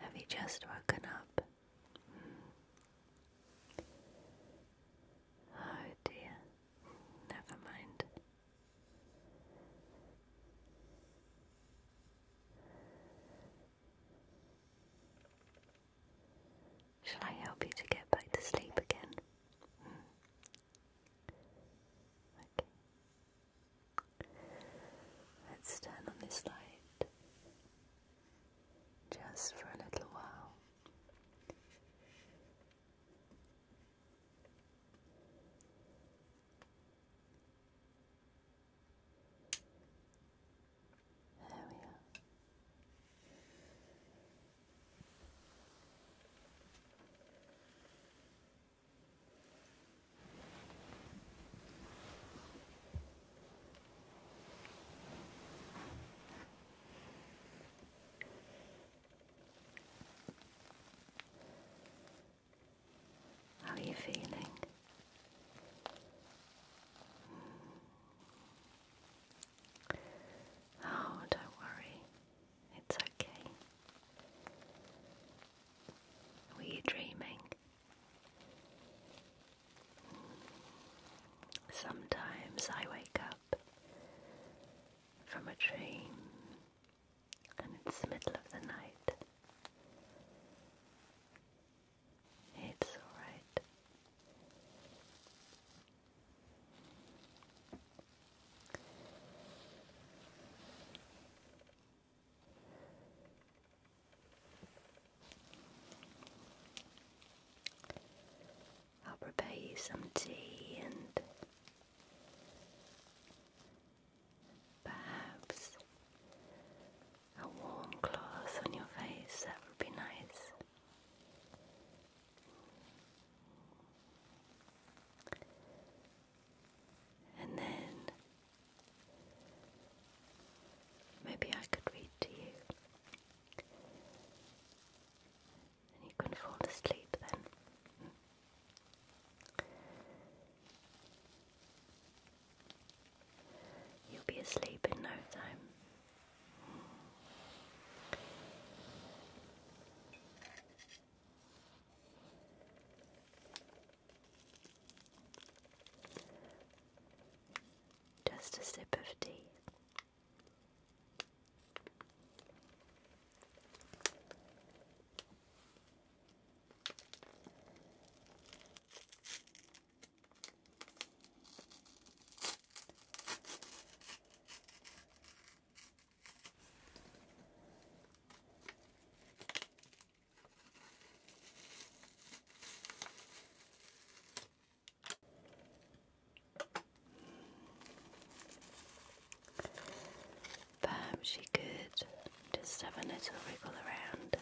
Have you just woken up? Hmm. Oh dear, never mind. Shall I help you to get back to sleep again? Hmm. Okay. Let's turn on this light just for a little while. There we are. How are you feeling? Oh, don't worry, it's okay. Were you dreaming? Sometimes I wake up from a dream and it's the middle of the night. It's alright. I'll prepare you some tea and perhaps a warm cloth on your face, that would be nice. And then maybe I could read to you. And you can fall asleep then. You'll be asleep in no time. Just a sip of tea. Perhaps you could just have a little wiggle around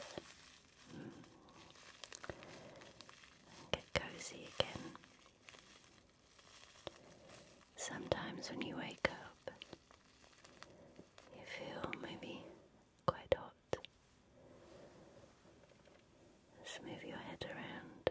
get cozy again. Sometimes when you wake up, you feel maybe quite hot. Just move your head around.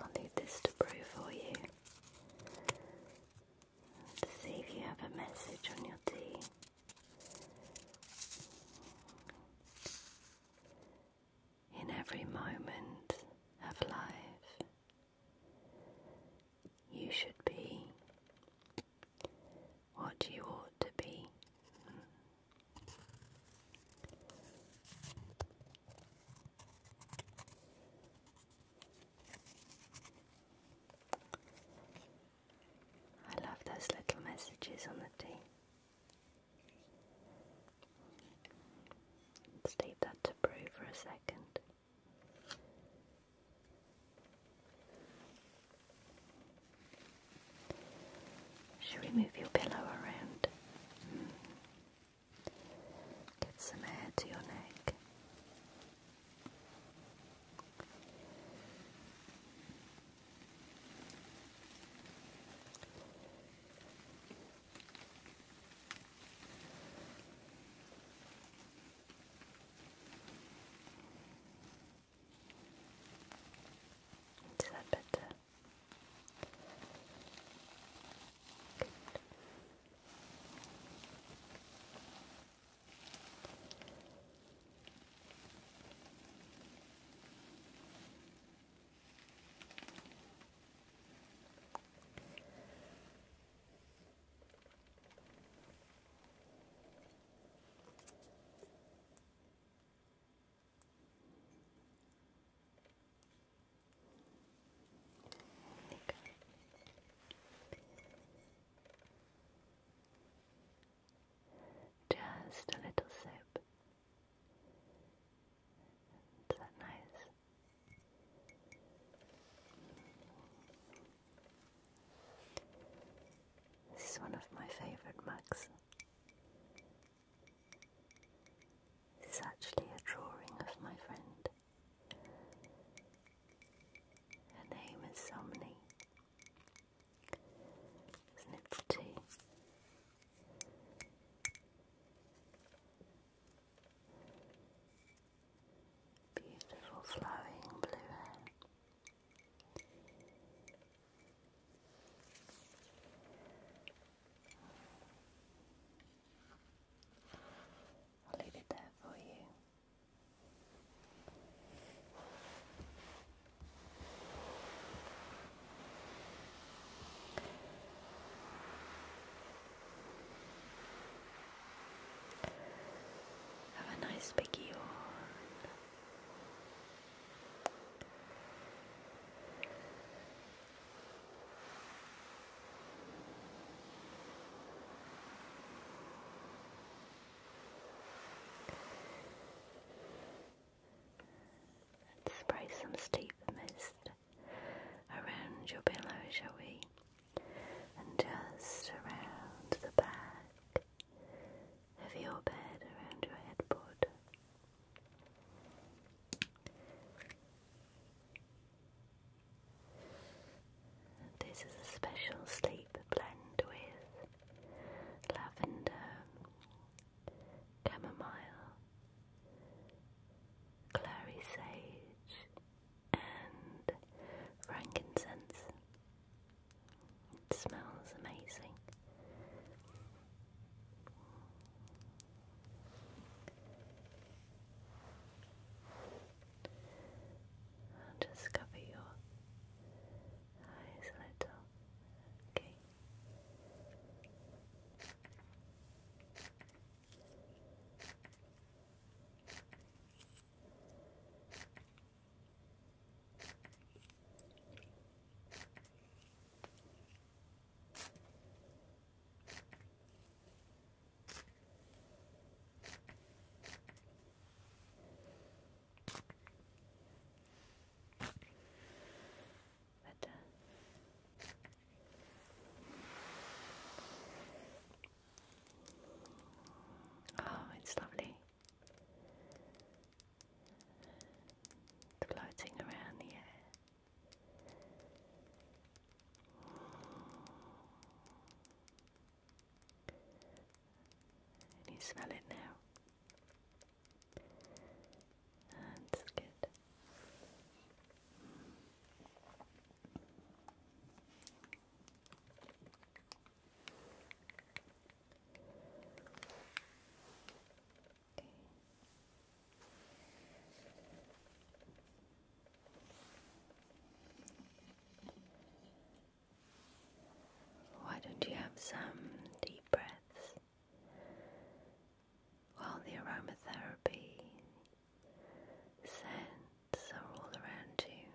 I'll leave this to brew for you to see if you have a message on your tea. In every moment of life, you should be what you ought to be. I love those little messages on the tea. Let's leave that to brew for a second. Should we move your pillow around? Hmm. Get some air to your neck. Is that better? Good. Just a little sip. Is that nice? This is one of my favourite mugs. This is actually a drawing of my friend. Her name is Somni. Isn't Beautiful flowing blue hair. I'll leave it there for you. Have a nice big yawn. Let's spray some steep mist around your pillow, shall we? And just around the back of your bed around your headboard. This is a special sleep blend with lavender, chamomile, clary sage, and frankincense. It smells amazing. I'll just cover your eyes a little. Okay. Oh, it's lovely floating around the air. Can you smell it now? That's good. Why don't you have some deep breaths while the aromatherapy scents are all around you?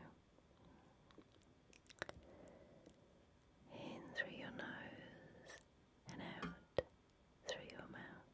in through your nose and out through your mouth.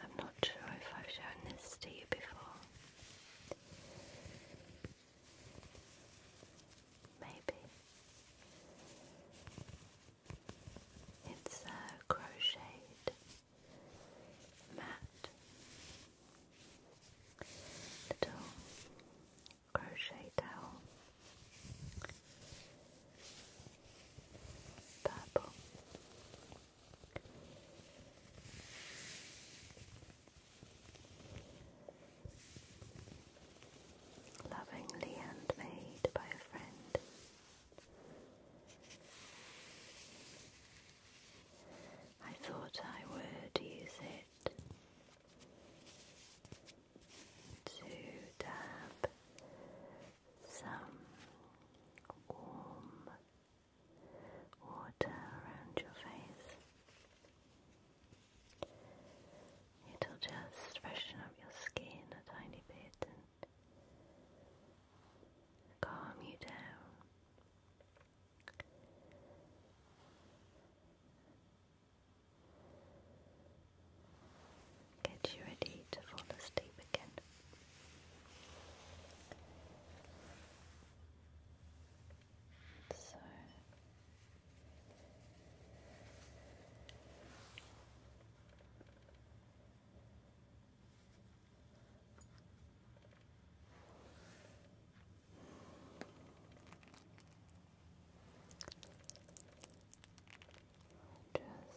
I'm not sure if I've shown this to you before. Maybe. It's a crocheted mat. Little crochet towel. Purple. Lovingly handmade by a friend. I thought I would use it to dab some warm water around your face. It'll just freshen up your skin a tiny bit calm you down. Get you ready to fall asleep again. So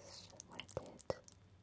just with it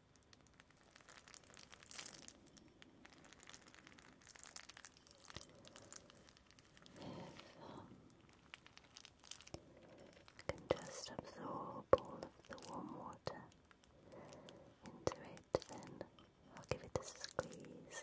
can just absorb all of the warm water into it, then I'll give it a squeeze.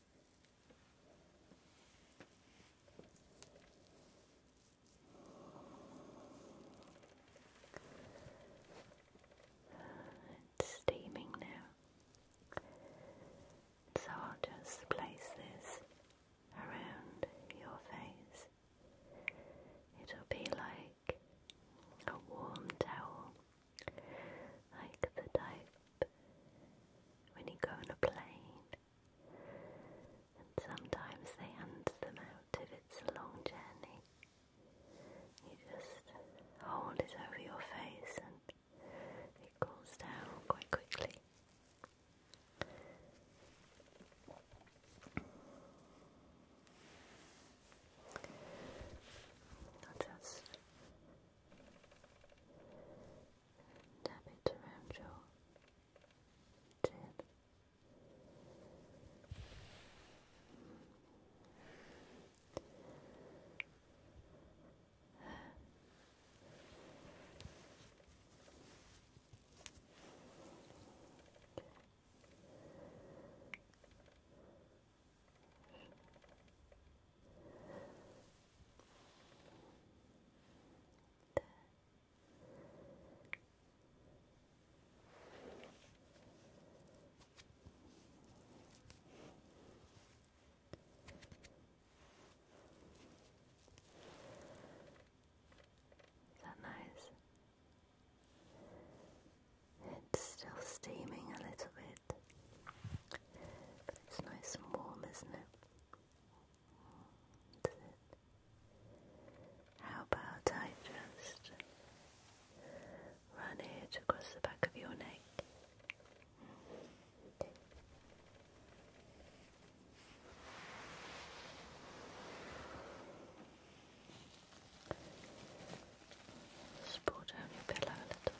steaming now, so I'll just place this around your face. It'll be like a warm towel, like the type when you go on a plane and sometimes they hand them out if it's a long journey. You just hold it over your face and it cools down quite quickly. just tap it around your chin. Okay. Is that nice? It's still steaming a little bit, but it's nice and warm, isn't it? How about I just run it across the back of your neck? Okay. Support down your pillow a little.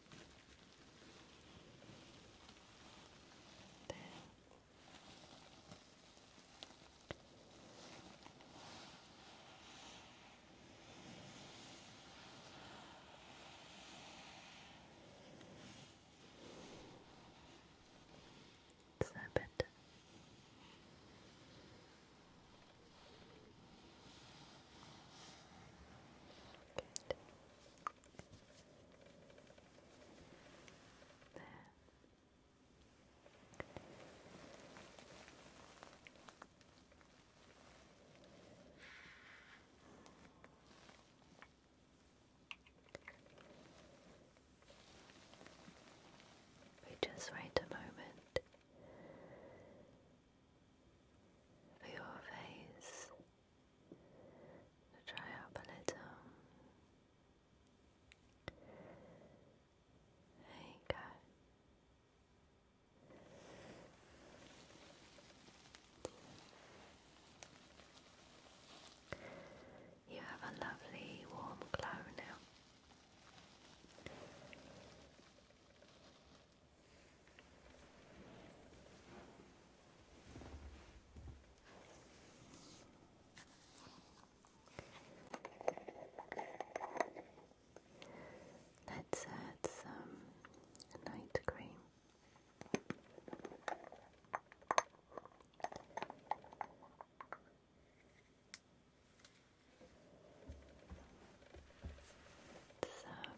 There. Snap Good. We just wait a moment for your face to dry up a little. There you You have a lovely warm glow now. Let's add some night cream. Some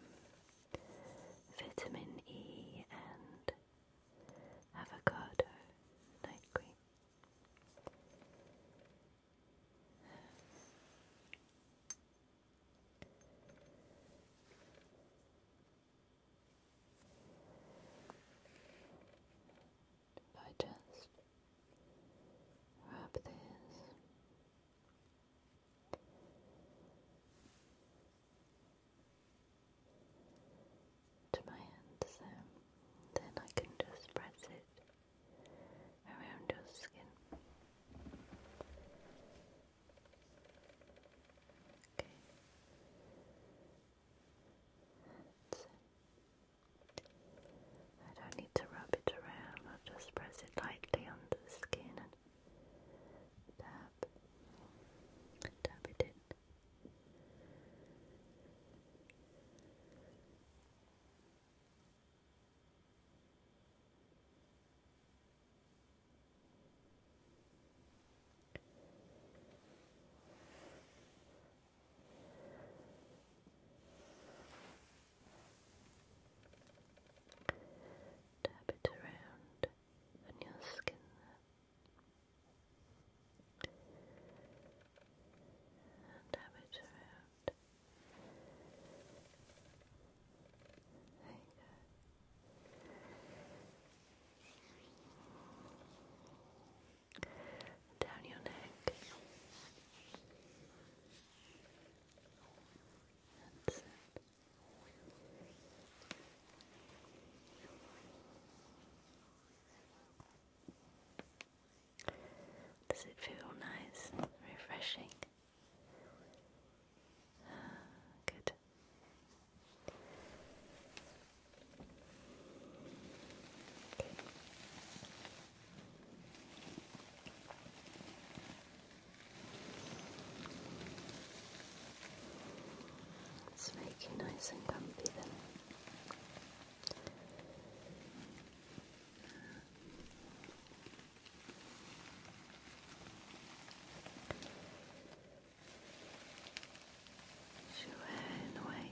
vitamin E and avocado night cream. I just wrap this to my hand so then I can just press it around your skin. Okay. I don't need to rub it around, I'll just press it lightly onto the skin Tap. Tap it in. Tap it around on your skin and have it around. There you Down your neck does it feel nice refreshing? Ah, good. Let's make you nice and comfy then. Push hair in the way.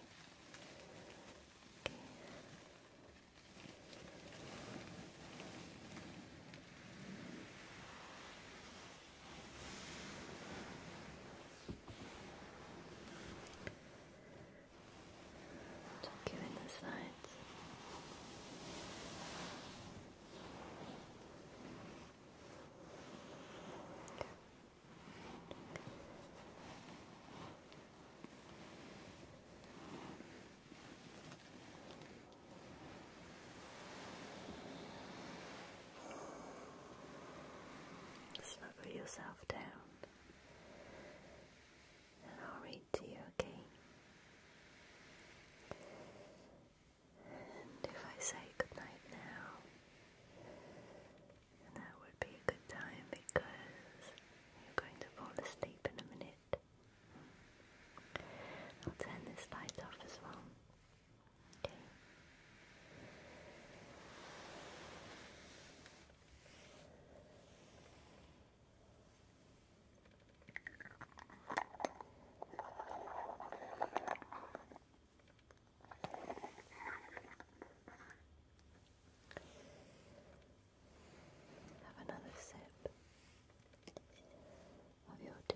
Tuck you in the sides. Good. Snuggle yourself down and I'll read to you, okay? And if I say goodnight now, that would be a good time because you're going to fall asleep in a minute. I'll turn this light off as well. Okay. Have another sip of your tea.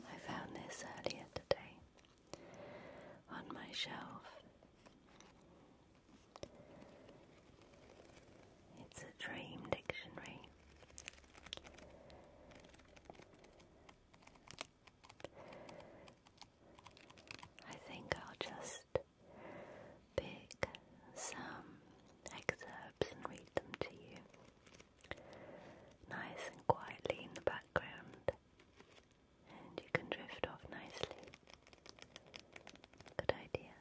I found this earlier today on my shelf. It's a dream dictionary. I think I'll just pick some excerpts and read them to you. Nice and quietly in the background, and you can drift off nicely. Good idea.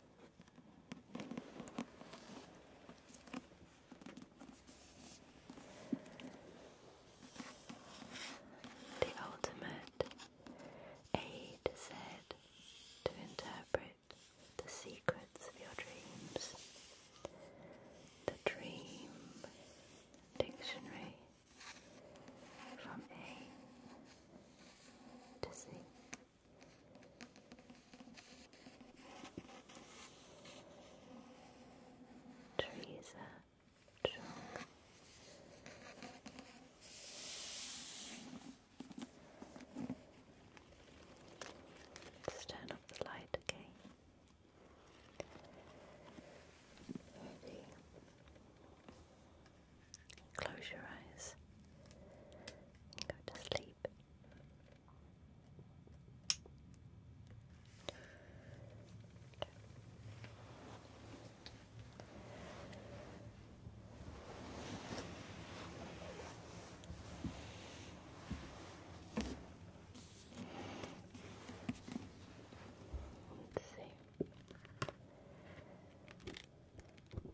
The ultimate aid said to interpret the secrets of your dreams. The Dream Dictionary from A to see. Trees turn off the light again. Ready. Close your eyes and go to sleep. Let's see.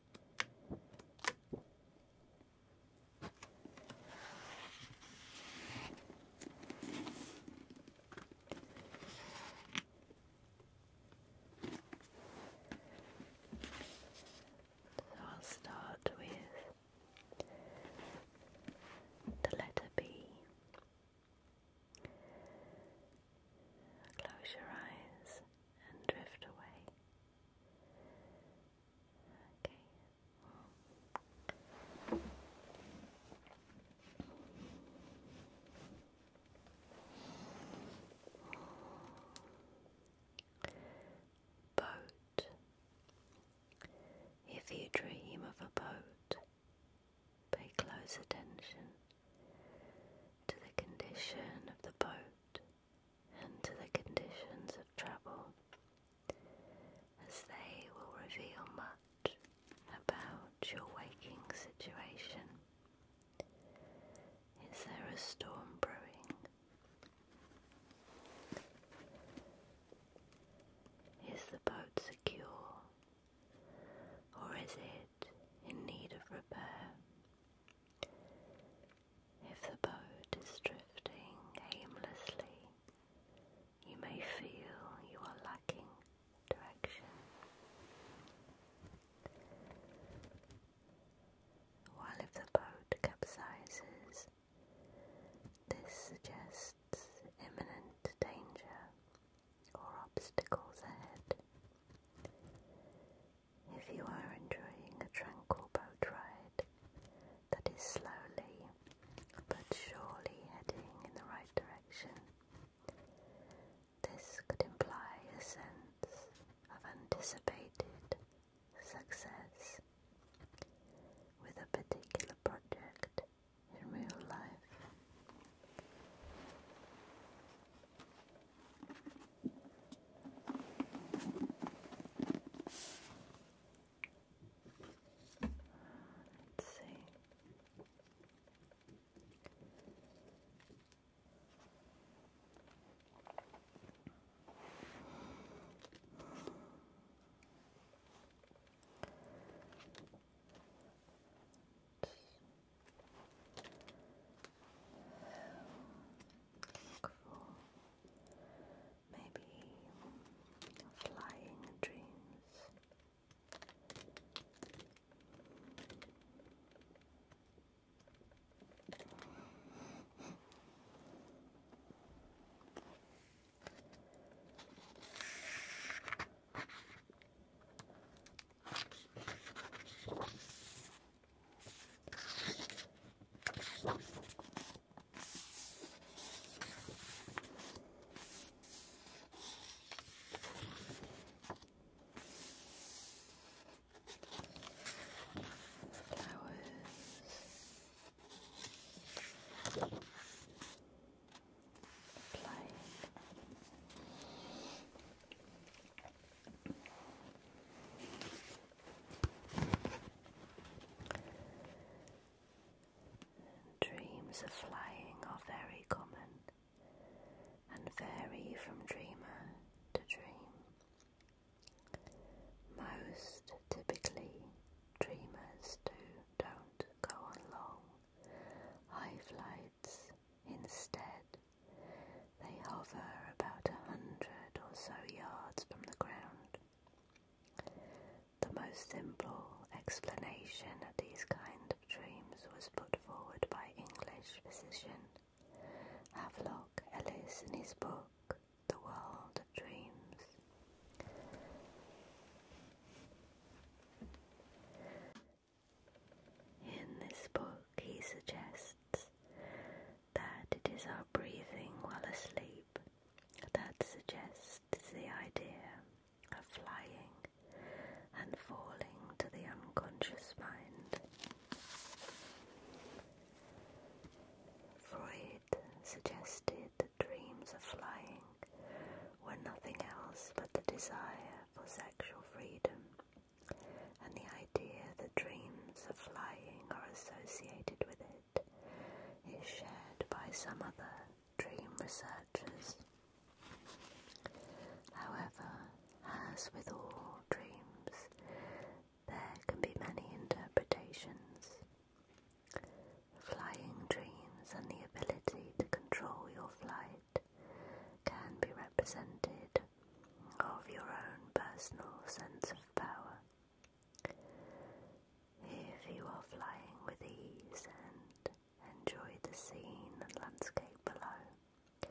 So I'll start with the letter B. Close your eyes and drift away. Okay. Boat. If you dream of a boat, pay close attention to the condition of the boat and the conditions of travel, as they will reveal much about your waking situation. Is there a storm brewing? Is the boat secure, or is it in need of repair? If the boat is drifting aimlessly, you may feel you are lacking direction. While if the boat capsizes, this suggests imminent danger or obstacles ahead. If you are enjoying a tranquil boat ride, that is slowly but surely heading in the right direction. This could imply a sense of anticipated success with a particular project in real life. Let's see. Look for maybe flying dreams. I was applying Dreams of flying are very common and vary from dreamer to dream. Most typically, dreamers do, don't go on long high flights. Instead, they hover about a hundred or so yards from the ground the most simple explanation of these kind of dreams was put forward by English physician Havelock Ellis in his book The World of Dreams. In this book, he suggests that it is our breathing while asleep that suggests the idea of flying and falling to the unconscious mind. Freud suggested that dreams of flying were nothing else but the desire for sexual freedom and the idea that dreams of flying are associated with it is shared by some other dream researchers. However, as with all dreams, there can be many interpretations. Flying dreams and the ability to control your flight can be represented of your own personal sense of power. If you are flying with ease and enjoy the scene and landscape below,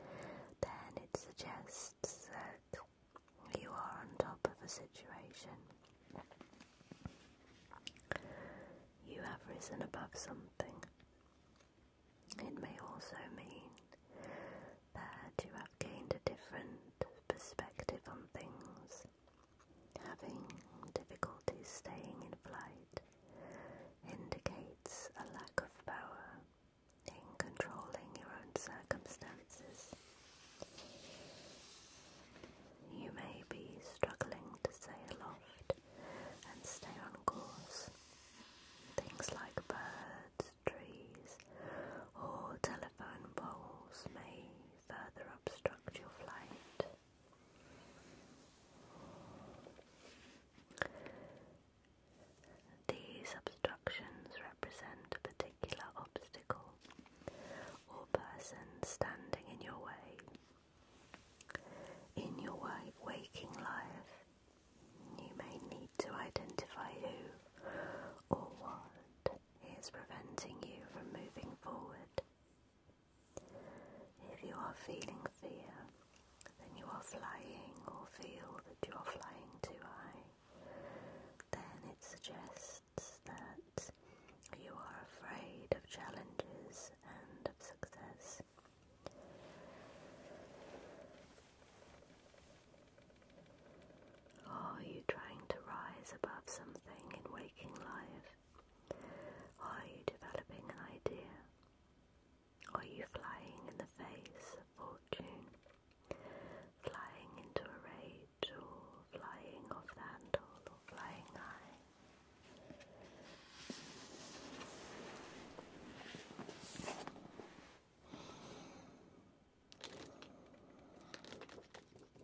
then it suggests that you are on top of a situation. You have risen above something. It may also mean that you have gained a different perspective on things Having difficulties staying in flight indicates a lack of power in controlling your own circumstances. You may be struggling to stay aloft and stay on course. Things like birds, trees, or telephone poles may further obstruct your flight. These obstructions represent a particular obstacle or person standing in your way. In your waking life, you may need to identify who or what is preventing you from moving forward. If you are feeling fear, then you are flying or feel that you are flying too high. Then it suggests that you are afraid of challenges and of success are you trying to rise above something in waking life? are you developing an idea? are you flying in the face of fortune? Flying into a rage, or flying off the handle, or flying high?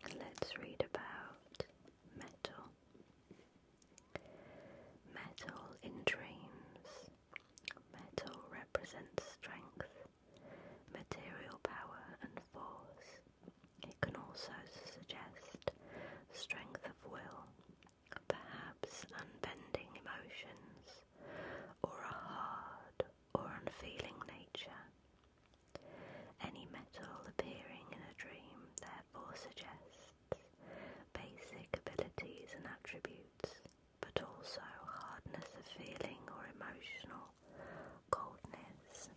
So let's read about metal. Metal in dreams. Metal represents strength, material power, and force. It can also suggest strength of will, perhaps unbending emotions, or a hard or unfeeling nature. Any metal appearing in a dream therefore suggests basic abilities and attributes, but also hardness of feeling or emotional coldness.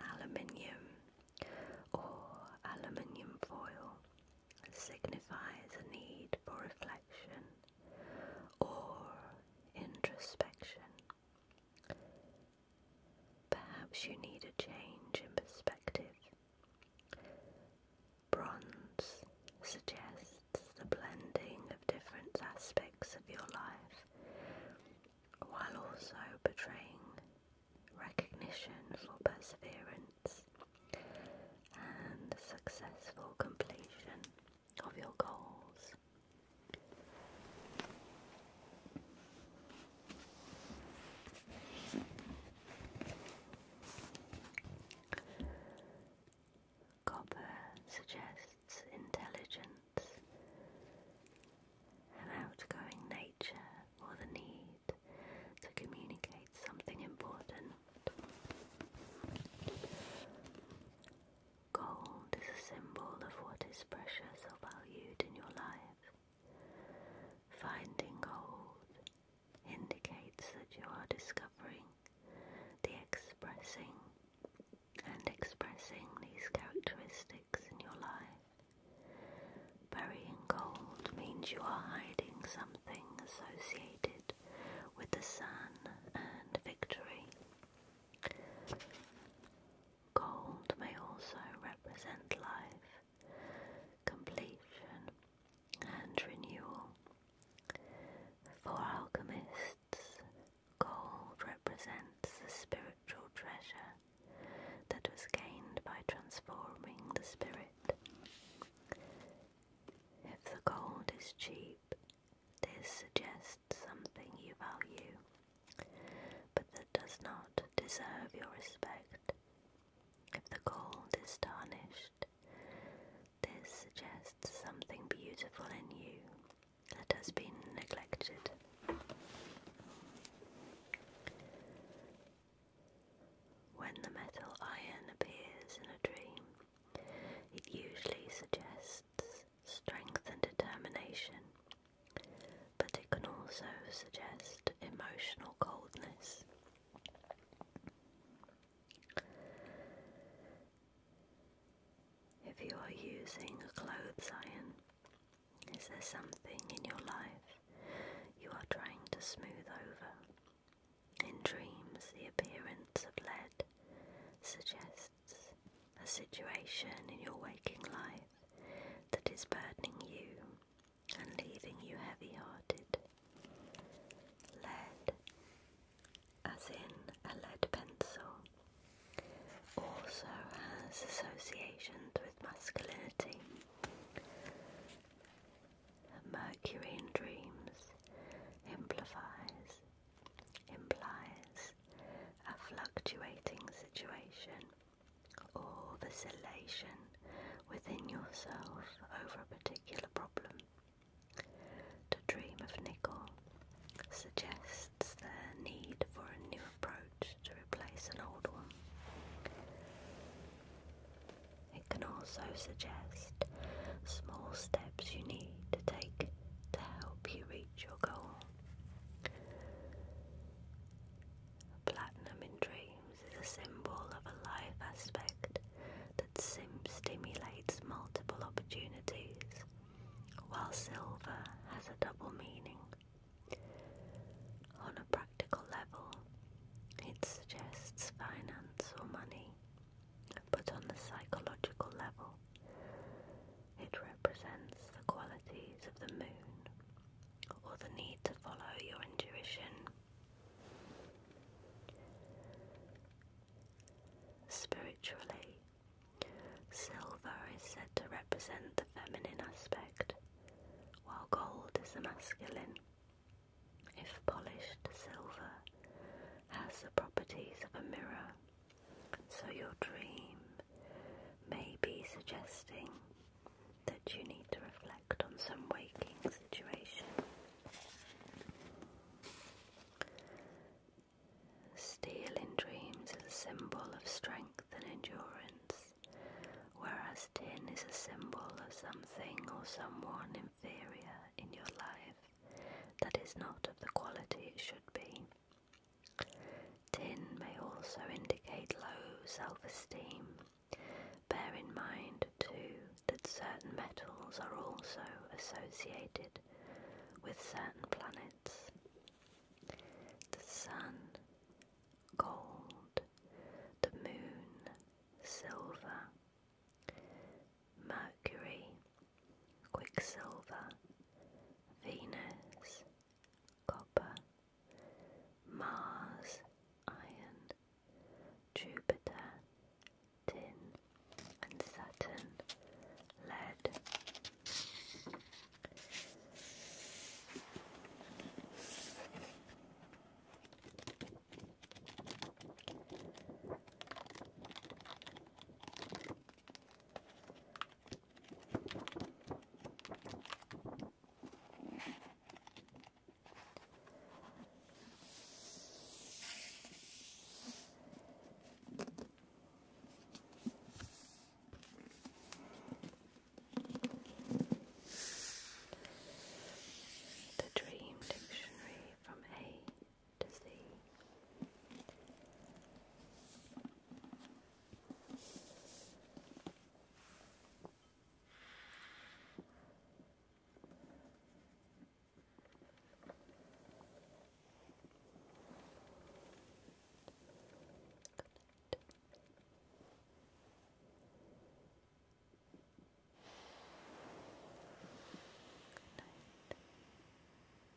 Aluminium or aluminium foil signifies a need for reflection or introspection. Perhaps you need a change in perspective. Bronze suggests the blending of different aspects of your life while also portraying recognition for perseverance and successful completion of your goals. Copper suggests intelligence, an outgoing nature, or the need to communicate something important. Gold is a symbol of what is precious or valued in your life. Finding gold indicates that you are discovering the expressing and expressing these characteristics in your life. Burying gold means you are hiding something associated with the sun and victory. Gold may also represent life, completion, and renewal. For alchemists, gold represents the spiritual treasure that was gained by transforming the spirit. If the gold is cheap, this suggests something you value, but that does not deserve your respect. If the gold is tarnished, this suggests something beautiful in you that has been neglected. When the metal iron appears in a dream, it usually suggests strength and determination, but it can also suggest emotional coldness. If you are using a clothes iron, is there something in your life you are trying to smooth over? In dreams, the appearance of lead suggests a situation in your waking life that is burdening you and leaving you heavy hearted. Lead, as in a lead pencil, also has associations with masculinity. Mercury in dreams amplifies implies a fluctuating situation or vacillation within yourself over a particular problem. To dream of nickel suggests the need for a new approach to replace an old one. It can also suggest small steps you need to take to help you reach your goal. Platinum in dreams is a symbol of a life aspect that sim stimulates multiple opportunities, while silver has a double meaning. On a practical level, it suggests finance or money but on the psychological level, it represents the qualities of the moon or the need to follow your intuition. Spiritually, silver is said to represent the feminine aspect, while gold is the masculine. If polished silver has the properties of a mirror, so, your dream may be suggesting that you need to reflect on some waking situation. Steel in dreams is a symbol of strength and endurance, whereas tin is a symbol of something or someone inferior in your life that is not of the quality it should be. Tin may also indicate low self esteem. Bear in mind, too, that certain metals are also associated with certain planets. The sun, gold, the moon, silver, Mercury, Quicksilver, Venus, Copper, Mars, Iron, Jupiter, Tin, and Saturn, Lead. The Dream Dictionary from A to see. Good night.